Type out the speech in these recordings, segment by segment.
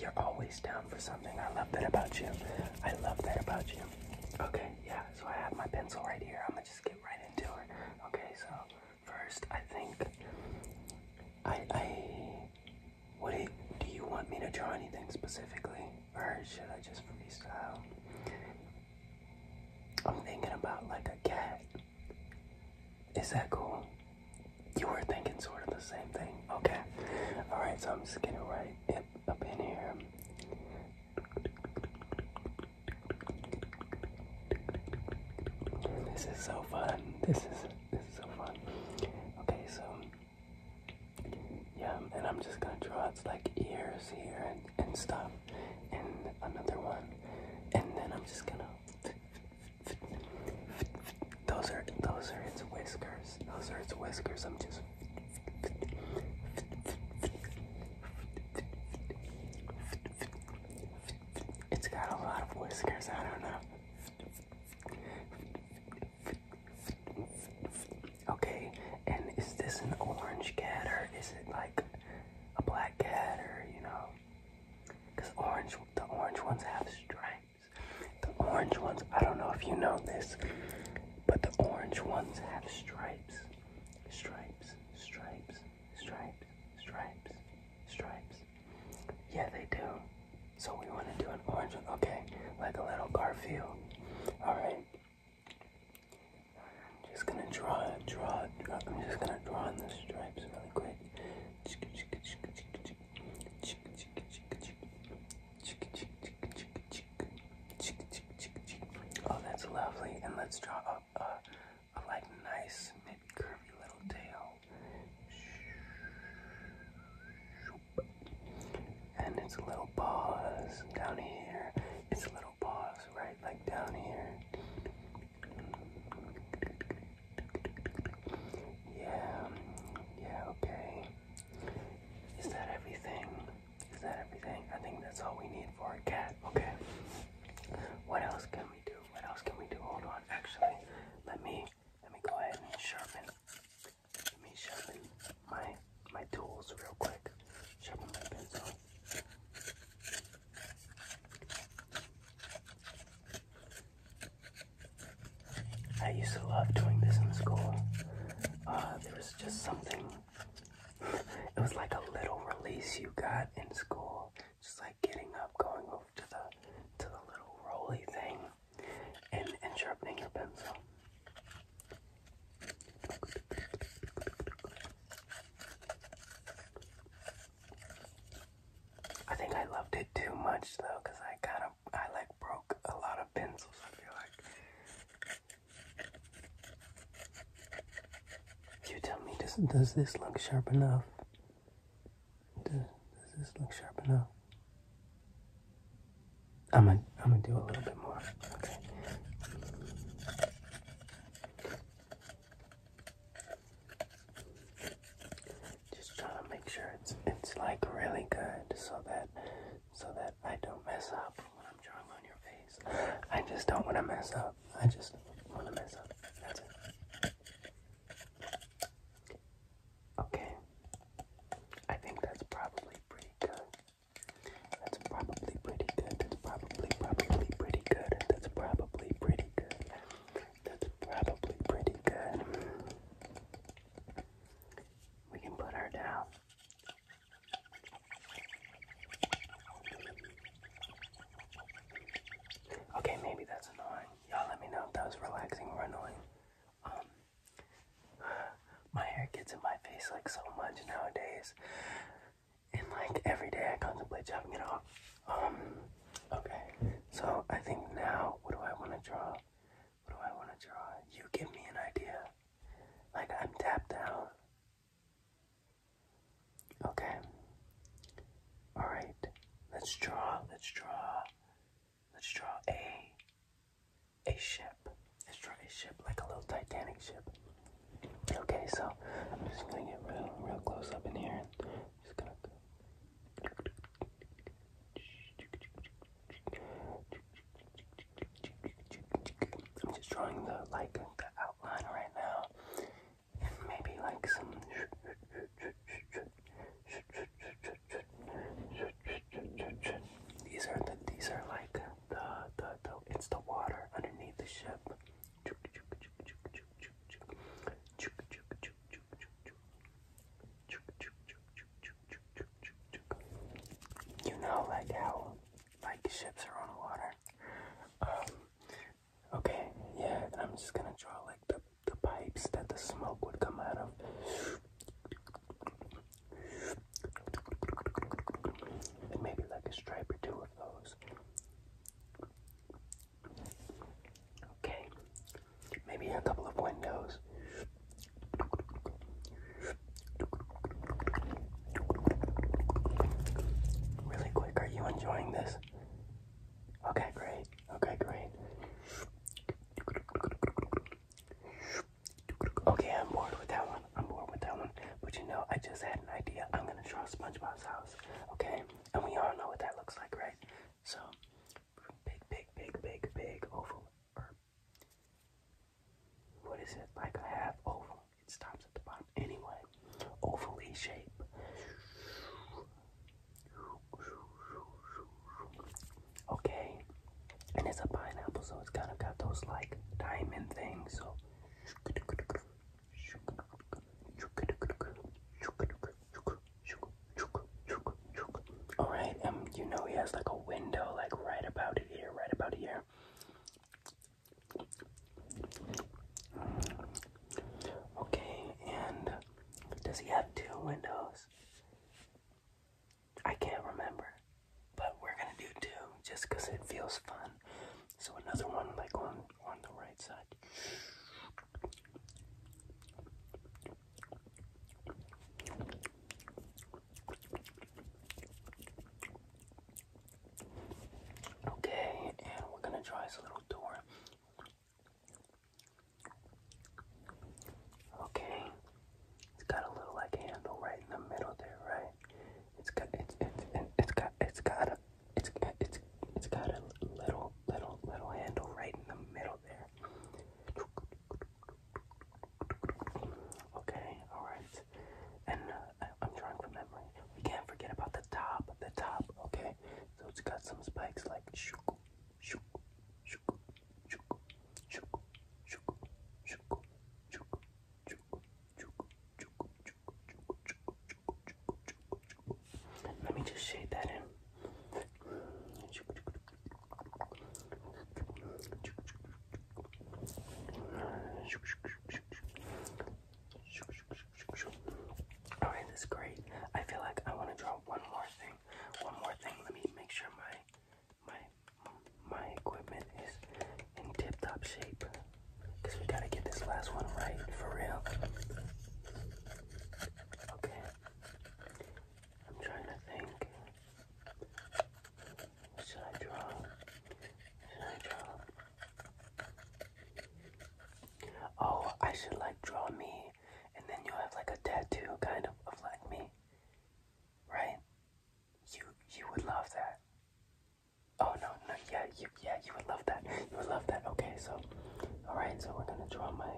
you're always down for something. I love that about you. I love that about you. Okay, yeah, so I have my pencil right here. I'm gonna just get right into it. Okay, so first, I think I. I what do you, do you want me to draw anything specifically? Or should I just freestyle? I'm thinking about like a cat. Is that cool? You were thinking sort of the same thing. Okay. Alright, so I'm just gonna write it up in here. This is so fun. This is this is so fun. Okay, so yeah, and I'm just gonna draw its like ears here and, and stuff, and another one, and then I'm just gonna those are those are its whiskers. Those are its whiskers. I'm just It's got a lot of whiskers. I don't know. Okay, and is this an orange cat or is it like a black cat or you know? Because orange, the orange ones have stripes. The orange ones, I don't know if you know this, but the orange ones have stripes. Stripes, stripes, stripes, stripes, stripes. Yeah, they do. So we want to do an orange one. Okay, like a little Garfield. Alright. I'm just gonna draw, draw, draw. I'm just gonna draw in the stripes really quick. Oh, that's lovely. And let's draw up a, a like nice, maybe curvy little tail. And it's a little paws down here. It's a little paws right like down here. Yeah, yeah, okay. Is that everything? Is that everything? I think that's all we need for a cat. Okay. What else can we do? What else can we do? Hold on. Actually, let me let me go ahead and sharpen. Let me sharpen my my tools real quick. Sharpen my pencil. I used to love doing this in school. Uh, there was just something. it was like a little release you got in school. Just like getting up, going over to the to the little roly thing, and and sharpening your pencil. I think I loved it too much though, cause I kind of I like broke a lot of pencils. I feel like. You tell me, does does this look sharp enough? Does, does this look sharp enough? I'm gonna I'm gonna do a little bit more. Okay. Just trying to make sure it's it's like really good so that so that I don't mess up when I'm drawing on your face. I just don't want to mess up. I just want to mess up. Okay. I think that's probably pretty good. That's probably pretty good that's probably, probably pretty good. That's probably pretty good. That's probably pretty good. We can put her down. Okay, maybe that's annoying. Y'all let me know if that was relaxing or annoying. Um, my hair gets in my face like so much nowadays and like every day I contemplate chopping it off. Um, okay. So I think now, what do I want to draw? What do I want to draw? You give me an idea. Like I'm tapped out. Okay. All right. Let's draw. Let's draw. Let's draw a a ship. Let's draw a ship like a little Titanic ship. Okay, so I'm just gonna get real, real close up in here. I'm just drawing the like the outline right now, and maybe like some. These are the these are like the the the it's the water underneath the ship. You know, like how, like ships are on the water. Um, okay, yeah. And I'm just gonna draw like the the pipes that the smoke would come out of. And maybe like a stripe or two of those. Okay, maybe a couple of windows. Really quick, are you enjoying this? Okay, great. Okay, great. Okay, I'm bored with that one. I'm bored with that one. But you know, I just had an idea. I'm gonna draw SpongeBob's house, okay? And we all know what that looks like, right? So, big, big, big, big, big oval. Or what is it? Like a half oval. It stops at the bottom. Anyway, ovally shape. Okay, and it's a pineapple, so it's kind of got those like diamond things. So all right, um, you know he has like a window, like right about here, right about here. Okay, and does he have two windows? I can't remember, but we're gonna do two just because it feels fun. So another one like on on the right side. Okay, and we're gonna try his little door. Okay, it's got a little like handle right in the middle there, right? It's got it's it's it's got it's got a it's it's it's got a little little little handle right in the middle there. Okay, all right. And uh, I'm drawing from memory. We can't forget about the top, the top. Okay, so it's got some spikes like shuk, shuk, shuk, shuk, shuk, shuk, shuk, shuk, let me just shade that in. Alright, this is great. I feel like I want to draw one more thing. One more thing. Let me make sure my my my equipment is in tip-top shape. Cause we gotta get this last one right for real. Okay. I'm trying to think. should I draw? Should I draw? Oh, I should like draw me, and then you have like a tattoo kind of of like me, right? You you would love that. Oh no no yeah you yeah you would love that you would love that. Okay so, all right so we're gonna draw my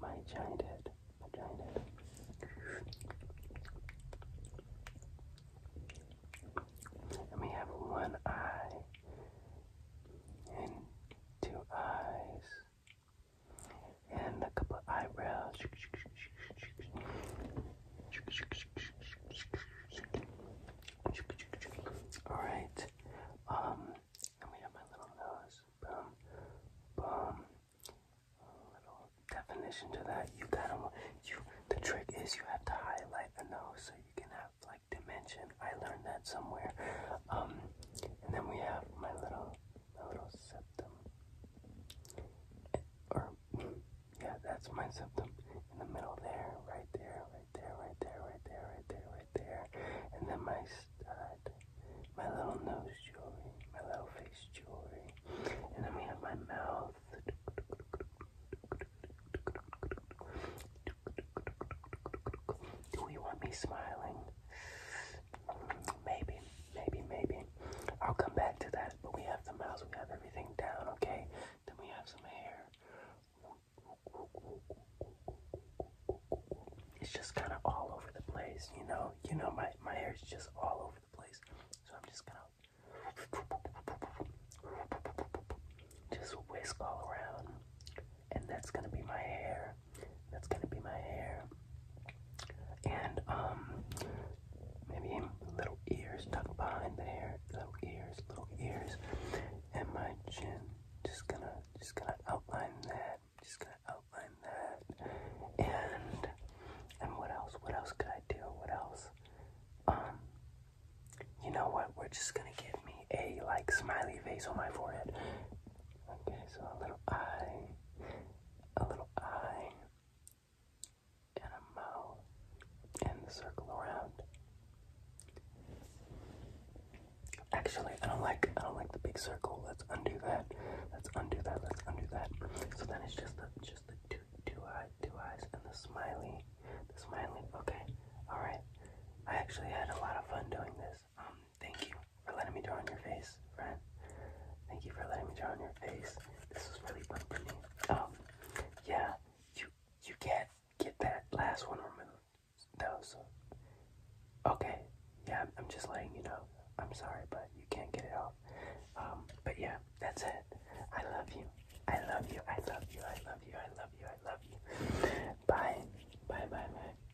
my giant head my giant head. Let me have one eye and two eyes and a couple of eyebrows. All right. Um, and we have my little nose. Boom, boom. A little definition to that. You gotta. You. The trick is you have to highlight the nose so you can have like dimension. I learned that somewhere. Um, and then we have my little little septum. Or, yeah, that's my septum. In the middle there, right there, right there, right there, right there, right there, right there. And then my stud, my little nose jewelry, my little face jewelry. And then we have my mouth. Do we want me smiling? Maybe, maybe, maybe. I'll come back to that. But we have the mouse, we have everything down, okay? Then we have some hair. It's just kind of all over the place, you know? You know, my, my hair is just all over the place. So I'm just gonna just whisk all around. And that's gonna be my hair. That's gonna be my hair. And um maybe little ears tucked behind the hair. Little ears, little ears. And my chin. Just gonna just gonna outline that. Just gonna outline that. And and what else? What else could I do? What else? Um you know what? We're just gonna give me a like smiley face on my forehead. Okay, so a little eye, a little eye, and a mouth, and circle around. Actually, I don't like I don't like the big circle. Let's undo that. Let's undo that. Let's undo that. So then it's just the just the two two eyes two eyes and the smiley the smiley. Okay, all right. I actually had a lot of fun doing this. Um, Thank you for letting me draw on your face, friend. Thank you for letting me draw on your face. This was really fun for me. Um, yeah, you you can't get that last one removed No. So, okay, yeah, I'm, I'm just letting you know. I'm sorry, but you can't get it off. Um, but yeah, that's it. I love you. I love you. I love you. I love you. I love you. I love you. Bye. Bye. Bye. Bye.